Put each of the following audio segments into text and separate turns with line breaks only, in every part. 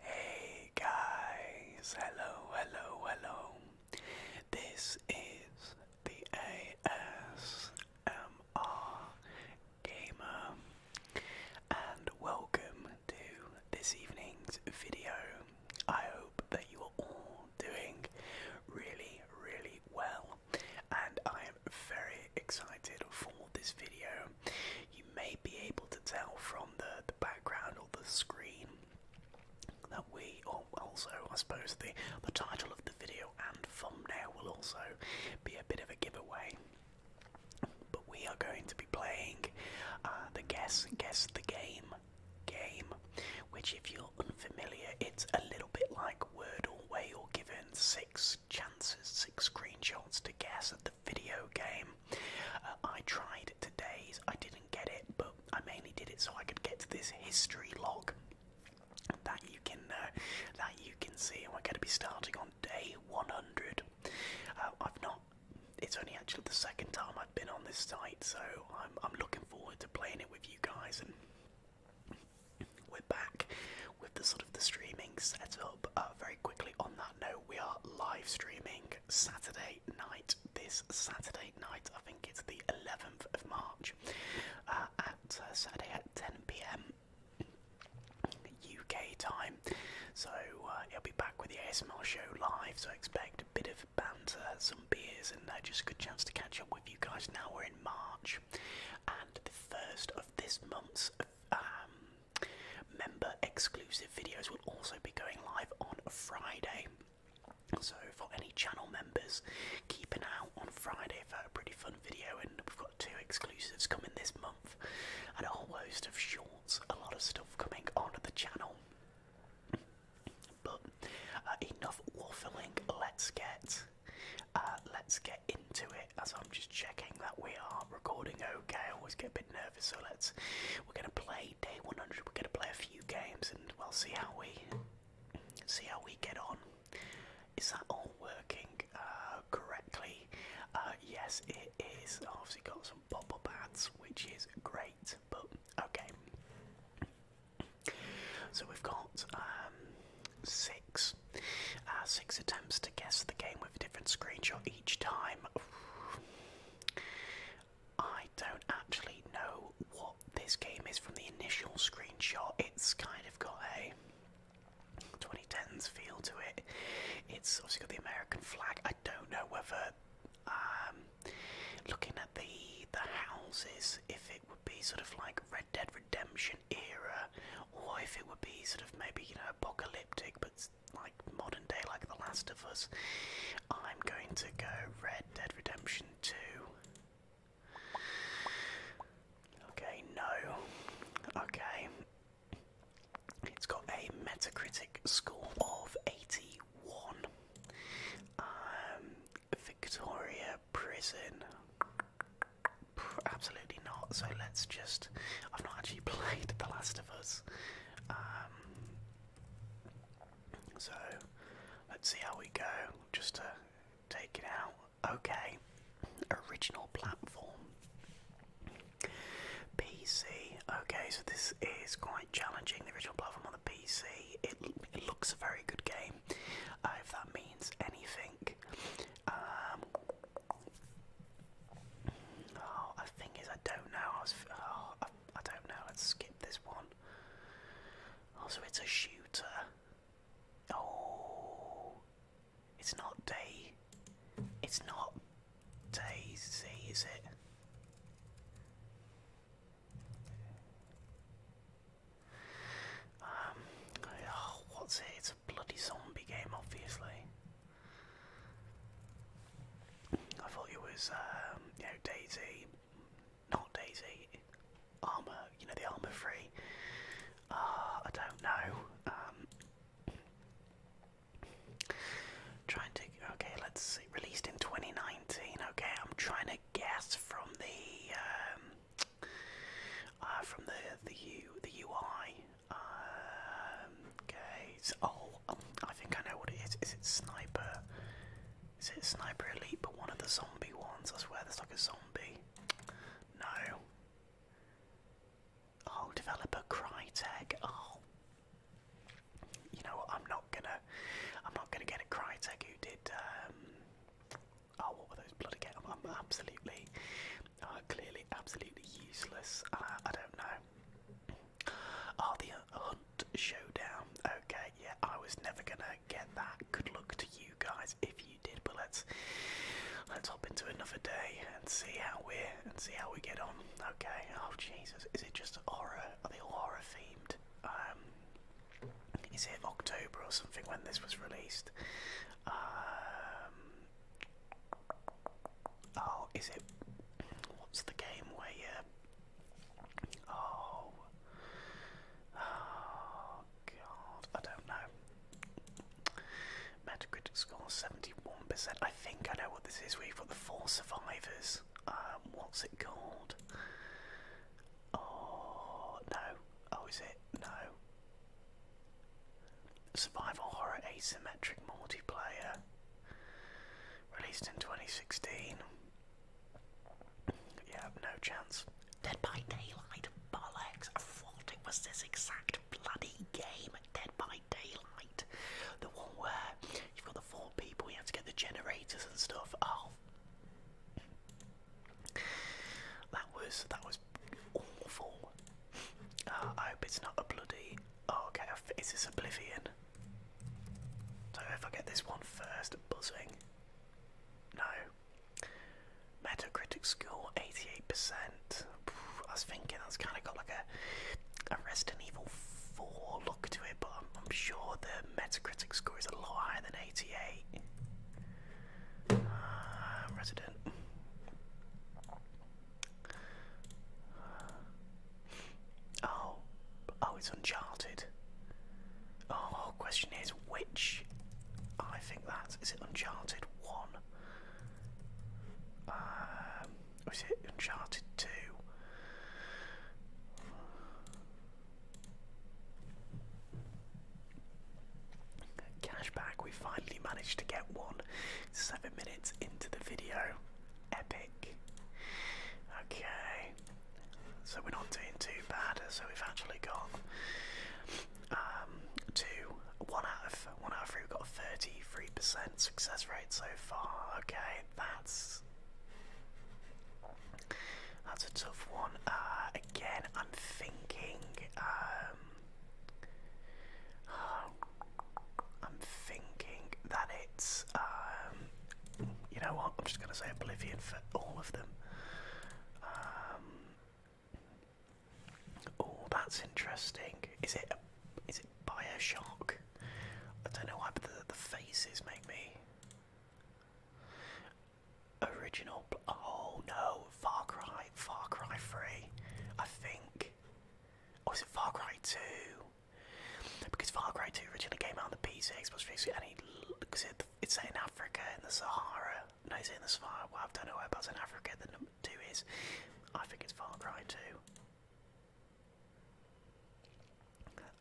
Hey guys, hello, hello, hello. This is the ASMR Gamer, and welcome to this evening's video. I hope that you all doing really, really well, and I am very excited for this video. You may be able to tell from the, the background or the screen that we, or also, I suppose, the, the title of the video and thumbnail will also be a bit of a giveaway. But we are going to be playing uh, the Guess Guess the Game game. Which, if you're unfamiliar, it's a little bit like Wordle, where you're given six chances, six screenshots to guess at the video game. Uh, I tried today's, I didn't get it, but I mainly did it so I could get to this history log that you can uh, that you can see, and we're going to be starting on day 100. Uh, I've not. It's only actually the second time I've been on this site, so I'm I'm looking forward to playing it with you guys and we're back with the sort of the streaming setup. Uh, very quickly on that note, we are live streaming Saturday night. This Saturday night, I think it's the 11th of March, uh, at uh, Saturday at 10 p.m. UK time. So uh, i will be back with the ASMR show live. So expect a bit of banter, some beers, and uh, just a good chance to catch up with you guys. Now we're in March, and the first of this month's um, member exclusive videos will also be going live on Friday. So, for any channel members, keep an eye out on Friday for a pretty fun video. And we've got two exclusives coming this month, and a whole host of shorts, a lot of stuff coming onto the channel. But uh, enough waffling. Let's get uh, let's get into it. As I'm just checking that we are recording. Okay, I always get a bit nervous. So let's we're gonna play day 100. We're gonna play a few games and we'll see how we see how we get on. Is that all working uh, correctly? yes, it is. is. I've Obviously got some pop-up which is great. But okay. So we've got um, six, uh, six attempts to guess the game with a different screenshot each time. I don't actually know what this game is from the initial screenshot. It's kind of got a 2010s feel to it. It's obviously got the American flag. I don't know whether um, looking at the the houses, if it would be sort of like Red Dead Redemption era, or if it would be sort of maybe you know apocalyptic, but like modern day, like The Last of Us, I'm going to go Red Dead Redemption Two. Okay, no. Okay. It's got a Metacritic score of 81 one. Um, Victoria Prison. Absolutely not. So let's just. I've not actually played The Last of Us. Um, so let's see how we go. Just to take it out. Okay. Original platform. PC. Okay, so this is quite challenging. The original platform on the PC. It, looks a very good game, uh, if that means anything. Um, oh, the thing is, I don't know. I, oh, don't know. Let's skip this one. Also, oh, it's a shooter. Oh, it's not day. It's not Daisy, is it? Um, what's it? It's a bloody zombie game, obviously. I thought it was, um, you know, Daisy, not Daisy, Armour, you know, the Armour Free. Uh, I don't know. Um, trying to, okay, let's released in 2019, okay, I'm trying to guess, from the um, uh, from the the U the UI. Um, okay, oh, um, I think I know what it is. Is it Sniper? Is it Sniper Elite? But one of the zombie ones. I swear, there's like a zombie. No. Oh, developer Crytek. Oh you know I'm not gonna, I'm not gonna get a cry tag. who did, um, oh, what were those bloody I'm, absolutely, uh, clearly absolutely useless. Uh, I don't know. Oh, the Hunt Showdown. Okay, yeah, I was never gonna get that. Good luck to you guys if you did, but let's let's hop into another day and see how we're and see how we get on. Okay. Oh Jesus, is it just horror? Are they all horror themed? Um, is it October or something when this was released? Um, oh, is it what's the game where you? Oh, oh God, I don't know. Metacritic score seventy-one percent. I think I know what this is. We've got the four survivors. Um, what's it called? Oh, no. Oh, is it? No. Survival Horror Asymmetric Multiplayer. Released in 2016. Yeah, no chance. Dead by Daylight. Bollocks. I thought it was this exact bloody game. Dead by Daylight. The one where You've got the four people. You have to get the generators and stuff. Oh, that was that was awful. Uh, I hope it's not a bloody. Oh, okay, is this Oblivion? So if I get this one first, buzzing. No. Metacritic score eighty-eight percent. I was thinking that's kind of got like a a Resident Evil Four look to it, but I'm, sure that. Metacritic score is a lot higher than 88. Uh, resident. Oh, oh, it's Uncharted. Oh, question is which? I think that is it. Uncharted one. Um, is it Uncharted two? Cashback, we finally managed to get one seven minutes into the video. Epic. Okay, so we're not doing too bad. So we've actually got um, two, one out of one out of three. We've got a thirty-three percent success rate so far. Okay, that's that's a tough one. Uh, again, I'm thinking. Um, I'm thinking that it's. Um, you know what? I'm just going to say Oblivion for all of them. Um, oh, that's interesting. Is it? A, is Bioshock? I don't know why, but the faces make me. Original. Oh no, Far Cry, Far Cry 3, I think. Or oh, is it Far Cry 2? Because Far Cry 2 originally came out on the PC, Xbox 360, and it, cause it's set in Africa, in the Sahara. No, it's in the Sahara. Well, I have done don't know it's in Africa the number 2 is. I think it's Far Cry 2.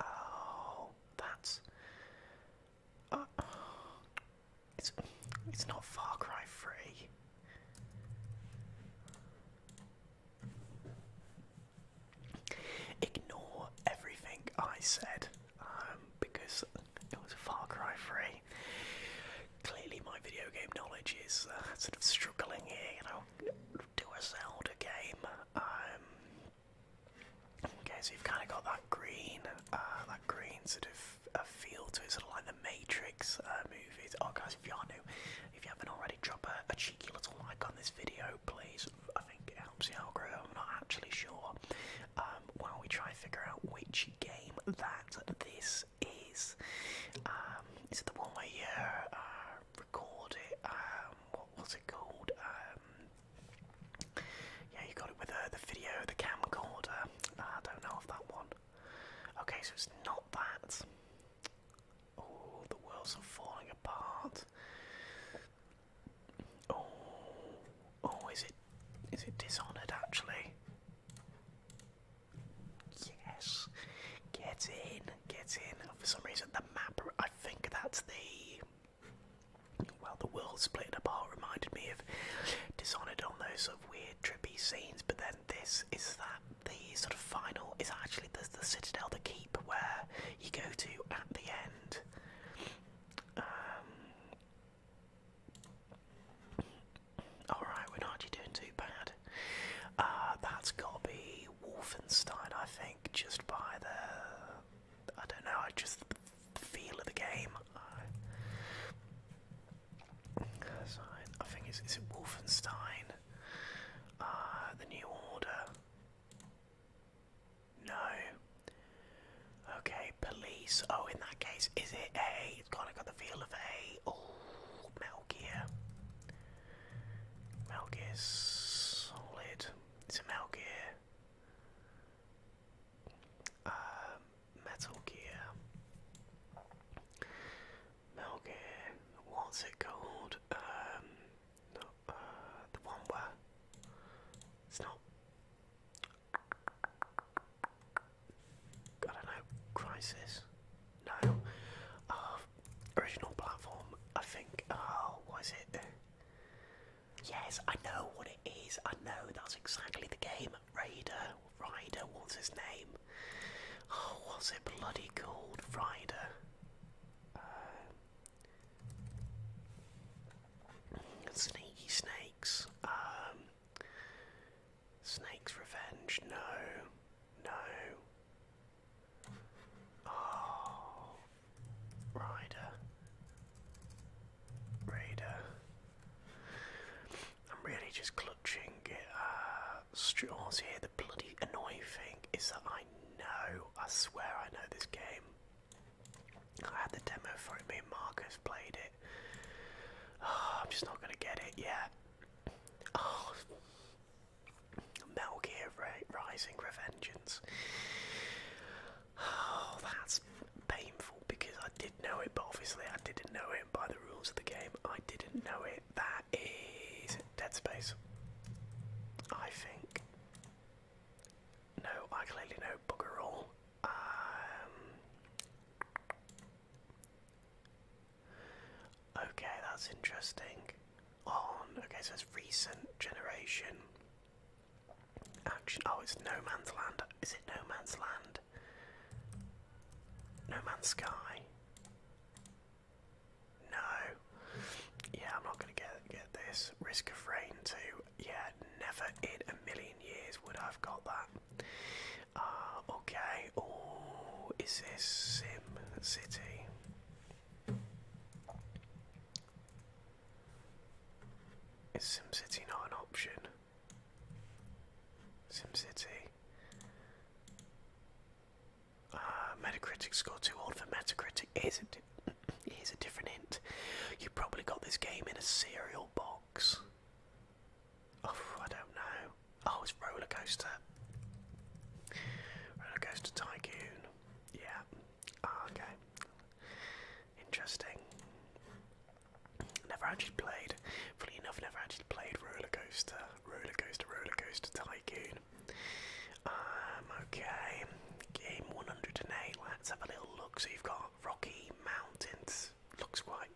Oh, that's. Uh, it's it's not Far Cry Free. Ignore everything I said um, because it was Far Cry Three. Clearly, my video game knowledge is uh, sort of struggling here. You know, do a Zelda game. Um, Okay, so you've kind of got that green, uh, that green sort of uh, feel to it, sort of like the Matrix uh, movies. Oh, guys, if you are new, if you haven't already, drop a, cheeky little like on this video, please. I think it helps the algorithm. I'm not actually sure. Um, while we try and figure out which game that this is, um, is it the one where you record it? Um, what was it called? Um, yeah, you got it with uh, the video, the camcorder. Ah, I don't know of that one. Okay, so it's not that. Oh, the world's falling apart. Oh, oh, is it? Is it Dishonored actually? Yes, get in, get in. For some reason, the map. I think that's the well, the world split apart reminded me of Dishonored on those sort of weird, trippy scenes, but then this is that the sort of final is actually the Citadel, the Keep, where you go to at the end. Um, Alright, we're not doing too bad. Uh, that Wolfenstein, I think, just by the I don't know. I just the feel of the game. Uh, so I, think it's is it Wolfenstein? Uh, the New Order. No. Okay, police. Oh, in that case, is it a? It's kind of got the feel of a. Oh, Metal Gear. Metal Gear Solid. It's a Metal Gear. Um, Metal Gear. Metal Gear. What's it called? Um, no, uh, the one where it's not. I don't know. Crisis. No. Uh, original platform. I think. Oh, uh, was it? Yes, I know what it is. I know that's exactly the game. Raider, Ryder, what's his name? Oh, what's it bloody called? Ryder. Uh, sneaky Snakes. Um, snake's Revenge. No, no. Oh, Rider, Raider. I'm really just clutching at uh, straws here. The bloody annoying thing is that I know, I swear I know this game. I had the demo for it, me and Marcus played it. Ah, I'm just not going to get it yet. Oh, Metal Gear Rising Revengeance. Oh, that's painful because I did know it, but obviously I didn't know it by the rules of the game. I didn't know it. That is Dead Space. I think. No, I clearly know bugger all. Um, okay, that's interesting. On, okay, so it's recent generation. Action. Oh, it's No Man's Land. Is it No Man's Land? No Man's Sky. No. Yeah, I'm not gonna get get this. Risk of Rain too. Yeah, never in a million years would I've got that. Uh, okay. Oh, is this Sim City? Is SimCity not an option? SimCity. Uh, Metacritic score too old for Metacritic. Here's a, here's different You probably got this game in a cereal box. Oh, I don't know. Oh, it's Roller Coaster. Tycoon. Yeah. Ah, okay. Interesting. Never actually played. Funny enough, never actually played Roller Coaster, Roller Coaster, Roller Coaster Tycoon. Um, okay, game 108. Let's have a little look. So you've got Rocky Mountains. Looks quite,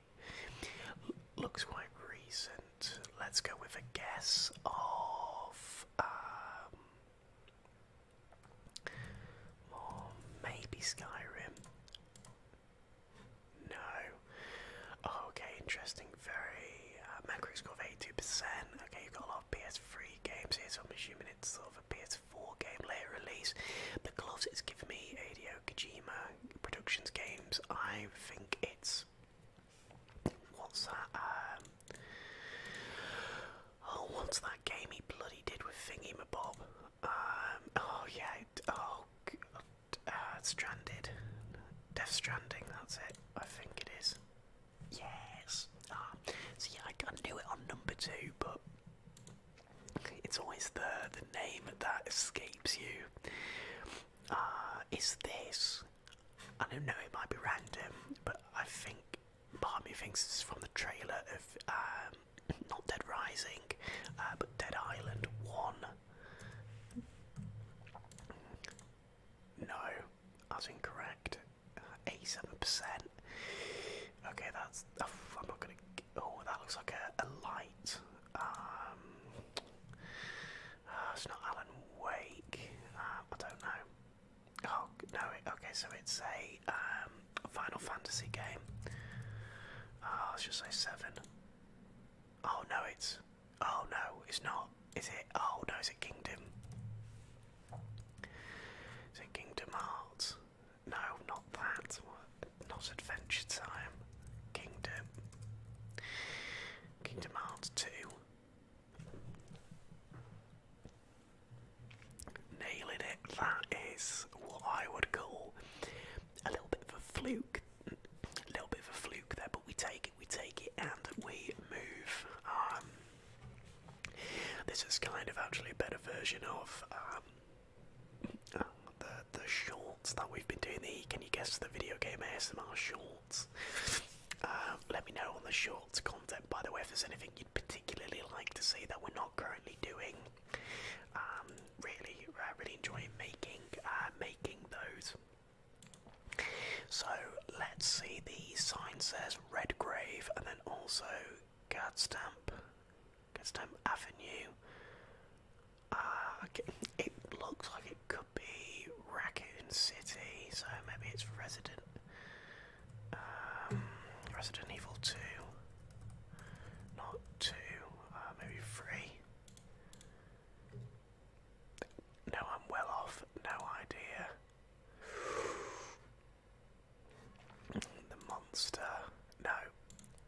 looks quite recent. Let's go with a guess of um, or maybe Skyrim. No. Oh, okay, interesting. Very uh, macro score of 82%. Okay, you've got a lot of PS3 games here, so I'm assuming it's sort of a PS4 game later release. The gloves it's given me, Adio Kojima Productions games. I think it's what's that? Um, Oh, what's that game he bloody did with Thingy Bob? Um, oh yeah, oh, uh, Stranded, Death Stranding. That's it. I think it is. Yes. Ah, so yeah, I, I do it on number two, but it's always the the name that escapes you. Ah, is this? I don't know. It might be random, but I think Part thinks it's from the trailer of um, not Dead Rising, uh, but Dead Island One. No, that's incorrect. Eighty-seven percent. Okay, that's. Oh, I'm not gonna. Oh, that looks like a, a light. Um, uh, it's not Alan Wake. Uh, I don't know. Oh no! Okay, so it's a um, Final Fantasy game. Oh, let just say seven. Oh no, it's. Oh no, it's not. Is it? Oh no, it's it Kingdom? Is it Kingdom Hearts? No, not that. Not Adventure Time. Kingdom. Kingdom Hearts two. Nailing it. That is what I would call a little bit of a fluke. A little bit of a fluke there, but we take it, we take it, and we move. this is kind of actually a better version of um, the the shorts that we've been doing. The can you guess the video game ASMR shorts? Uh, let me know on the shorts content by the way, if there's anything you'd particularly like to see that we're not currently doing, um, really, uh, really enjoy making uh, making those. So let's see. The sign says Redgrave, and then also Gadstamp, Gadstamp Avenue. Uh, it looks like it could be Raccoon City, so maybe it's resident. Um, Resident Evil 2. Not 2, uh, maybe 3. No, I'm well off. No idea. The Monster. No.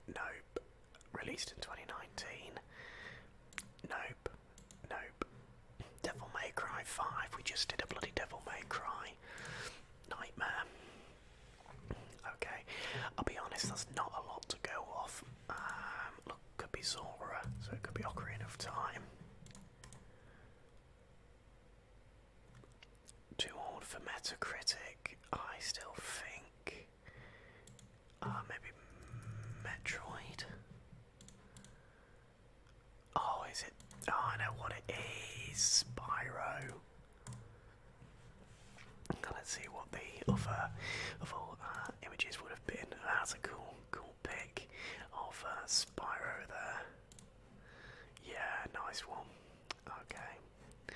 Nope. Released in 2019. Nope. Nope. Devil May Cry 5. We just did a bloody Devil May Cry. Nightmare. Okay, I'll be honest, that's not a lot to go off. Um, look, could be Zora, so it could be Ocarina of Time. Too old for Metacritic, I still think. Uh, maybe Metroid? Oh, is it? Oh, I know what it is. Spyro. Let's see what the other, of all uh, images would have been. That's a cool, cool pick of uh, Spyro there. Yeah, nice one. Okay,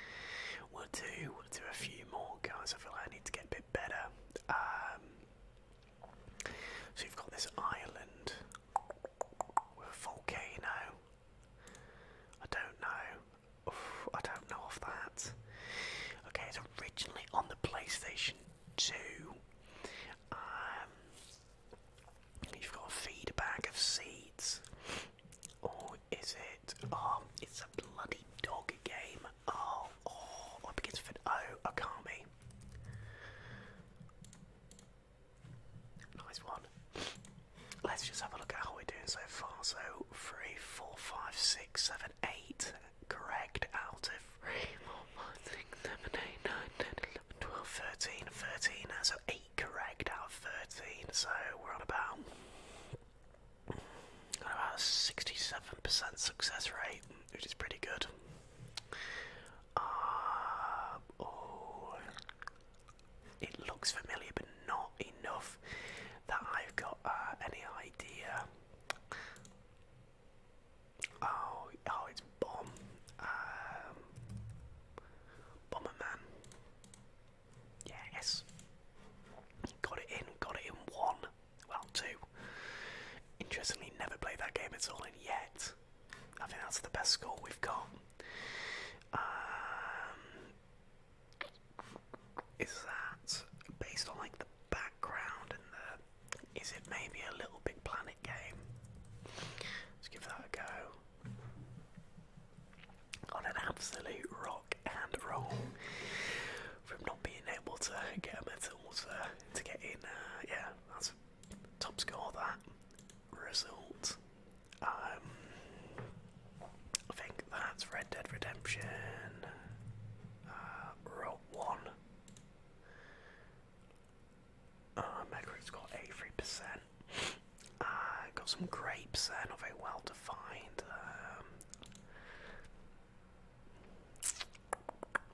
we'll do we'll do a few more guys. I feel like I need to get a bit better. Um, so you have got this island with a volcano. I don't know. I don't know of that. Okay, it's originally on the PlayStation 2. Um, you've got a feed bag of seeds. Or is it? Oh, it's a bloody dog game. Oh, oh, it begins with an O. Akami. Nice one. Let's just have a look at how we're doing so far. So, three, four, five, six, seven, eight. Correct. Out of three, four, five, six, seven, eight, nine, 10, 11, 12, 13, 13. So, eight correct out of 13. So, we're on about, on about 67% success rate, which is pretty good. Uh, oh, it looks familiar, but not enough that I've got uh, any idea. Oh, oh, it's Bomb, um, Bomberman. Yes, got it in, got it in one. Well, two. Interestingly, never played that game at all yet. I think that's the best score we've got. Um, is that based on like the background and the? Is it maybe a Little Big Planet game? Let's give that a go. On an absolute rock and roll from not being able to get a medal to, get in. Uh, yeah, that's top score that result. Um, I think that's Red Dead Redemption uh, Route 1. Uh, Metacritic's got 83%. Uh, got some grapes there, not very well defined.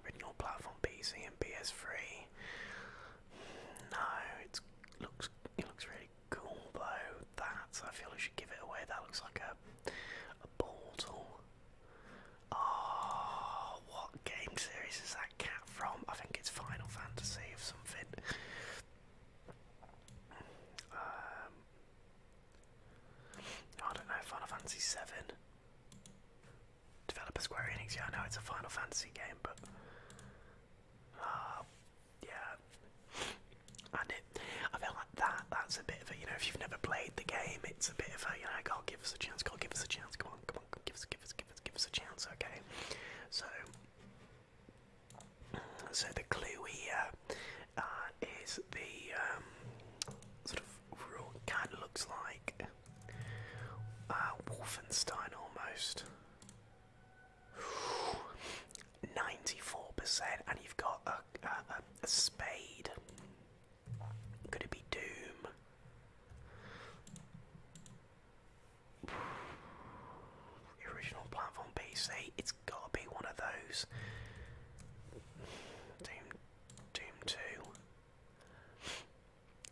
original um, platform PC and PS3. No, it looks it looks really cool though. That I feel I should give it away. That looks like a a portal. Oh, what game series is that cat from? I think it's Final Fantasy or something. Um, I don't know. Final Fantasy Seven. Developer Square Enix. Yeah, I know it's a Final Fantasy game, but uh, yeah. And it, I feel like that, that's a bit of a, you know, if you've never played the game, it's a bit of a, you know, God, give us a chance, God, give us a chance, come on, come on, give us, give us, give us, give us a chance, okay? So, so the clue here, uh, is the um, sort of kind of looks like uh, Wolfenstein almost. 94%, and you've got a, spade. Could it be Doom? original platform PC, it's gotta be one of those. Doom, Doom 2.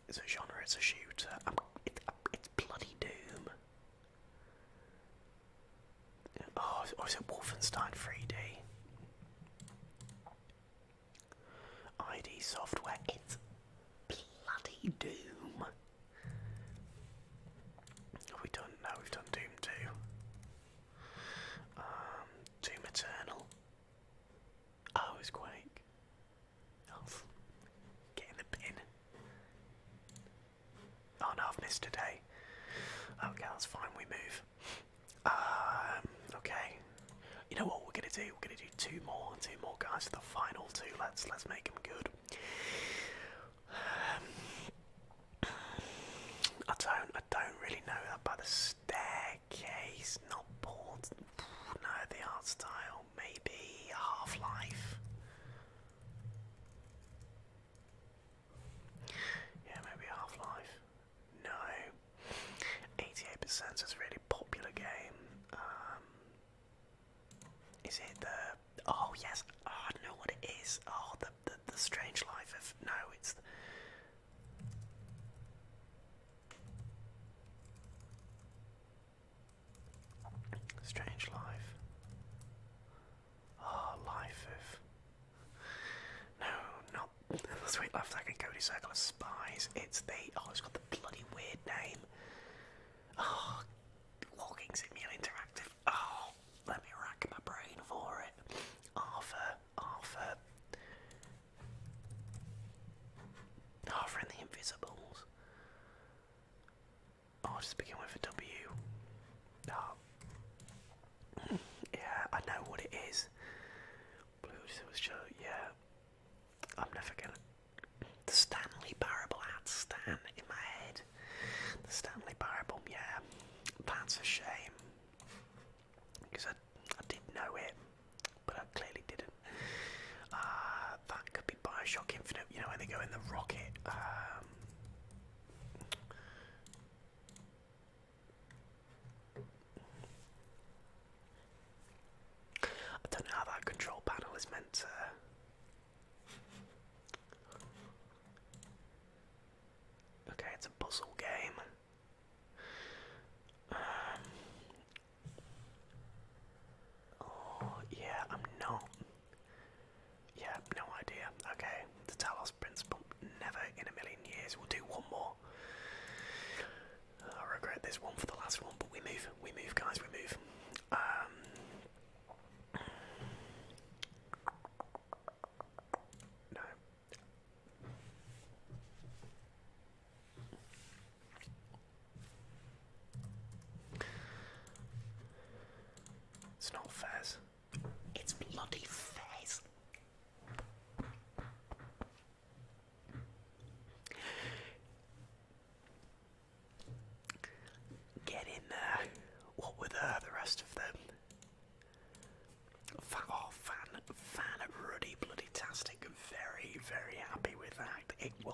It's a genre. It's a shooter. Um, i um, it's bloody Doom. Oh, or oh, is it Wolfenstein 3D? ID Software. It's bloody Doom. we done? No, we've done Doom 2. Um, Doom Eternal. Oh, it's Quake. Elf. Get in the bin. Oh no, missed a Okay, that's fine, we move. Um, okay. You know what we're gonna do? We're gonna do two more, two more guys for the final two. Let's let's make them good. Um, I don't I don't really know about the staircase, not board no the art style maybe Half-Life. Yeah, maybe Half-Life. No. 88% is a really popular game. Um, is it the... Oh, yes. Ah, I know what it is. Oh, the, the, strange life No, it's... Strange life. Ah, life of. No, not Sweet Life Second Cody Circle of Spies. It's the. Oh, it's got the bloody weird name. Oh, ah, Walking Simulator Interactive. Oh, let me rack my brain for it. Arthur, Arthur. Arthur and the Invisibles. I'll oh, just begin with a W. Oh. yeah, I know what it is. Blue Silver yeah. I'm never gonna. The Stanley Parable, I had in my head. The Stanley Parable, yeah. That's a shame. Because I, I did know it, but I clearly didn't. Uh, that could be Bioshock Infinite, you know, when they go in the rocket. Um, I don't know how that control panel is meant to. Okay, it's a puzzle game. Um, Oh, yeah, I'm not. Yeah, no idea. Okay, the Talos Principle. Never in a million years. We'll do one more. I regret this one for the last one, but we move. We move, guys. We move. Um, no. It's not fair. It's bloody fair. Get in there. What were there, the rest of them? oh, fan, fan, ruddy, bloody tastic. Very, very happy with that.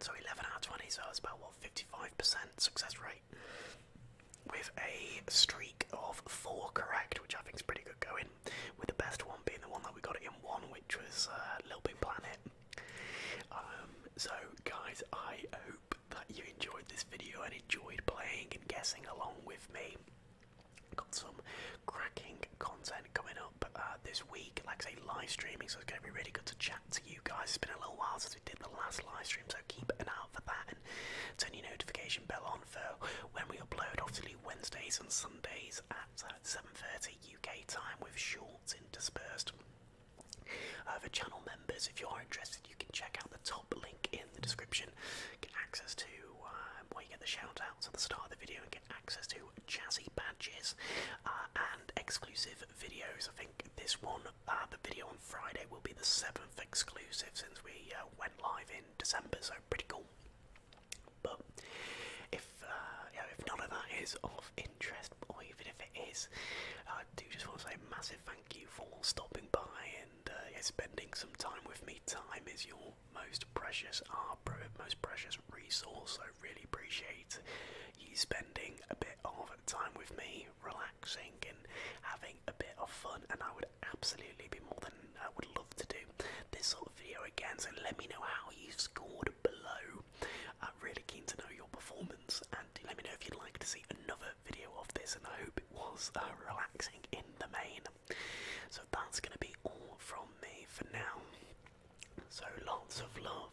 So 11 out of 20, so that's about what 55% success rate. With a streak of four correct, which I think is pretty good going. With the best one being the one that we got in one, which was uh, Little Big Planet. Um, so, guys, I hope that you enjoyed this video and enjoyed playing and guessing along with me. Got some cracking content coming up uh, this week, like I say, live streaming, so it's going to be really good to chat to you guys. It's been a little while since we did the last live stream, so keep an eye out for that and turn your notification bell on for when we upload. Obviously, Wednesdays and Sundays at 7:30 uh, UK time with shorts interspersed. Uh, for channel members, if you are interested, you can check out the top link in the description. Get access to um, where you get the shoutouts at the start of the video and get access to jazzy badges uh, and exclusive videos. I think this one uh, the video on Friday will be the seventh exclusive since we uh, went live in December, so pretty cool. But if uh, if none of that is of interest, or even if it is, I do just want to say a massive thank you for stopping by and uh, spending some time with me. Time is your most precious, our most precious resource. I really appreciate you spending a bit of time with me relaxing and having a bit of fun, and I would absolutely be more than I would love to do this sort of video again. So let me know how you scored below. I'm really keen to know your performance, and let me know if you'd like to see another video of this. And I hope it was uh, relaxing in the main. So that's gonna be all from me for now. So lots of love,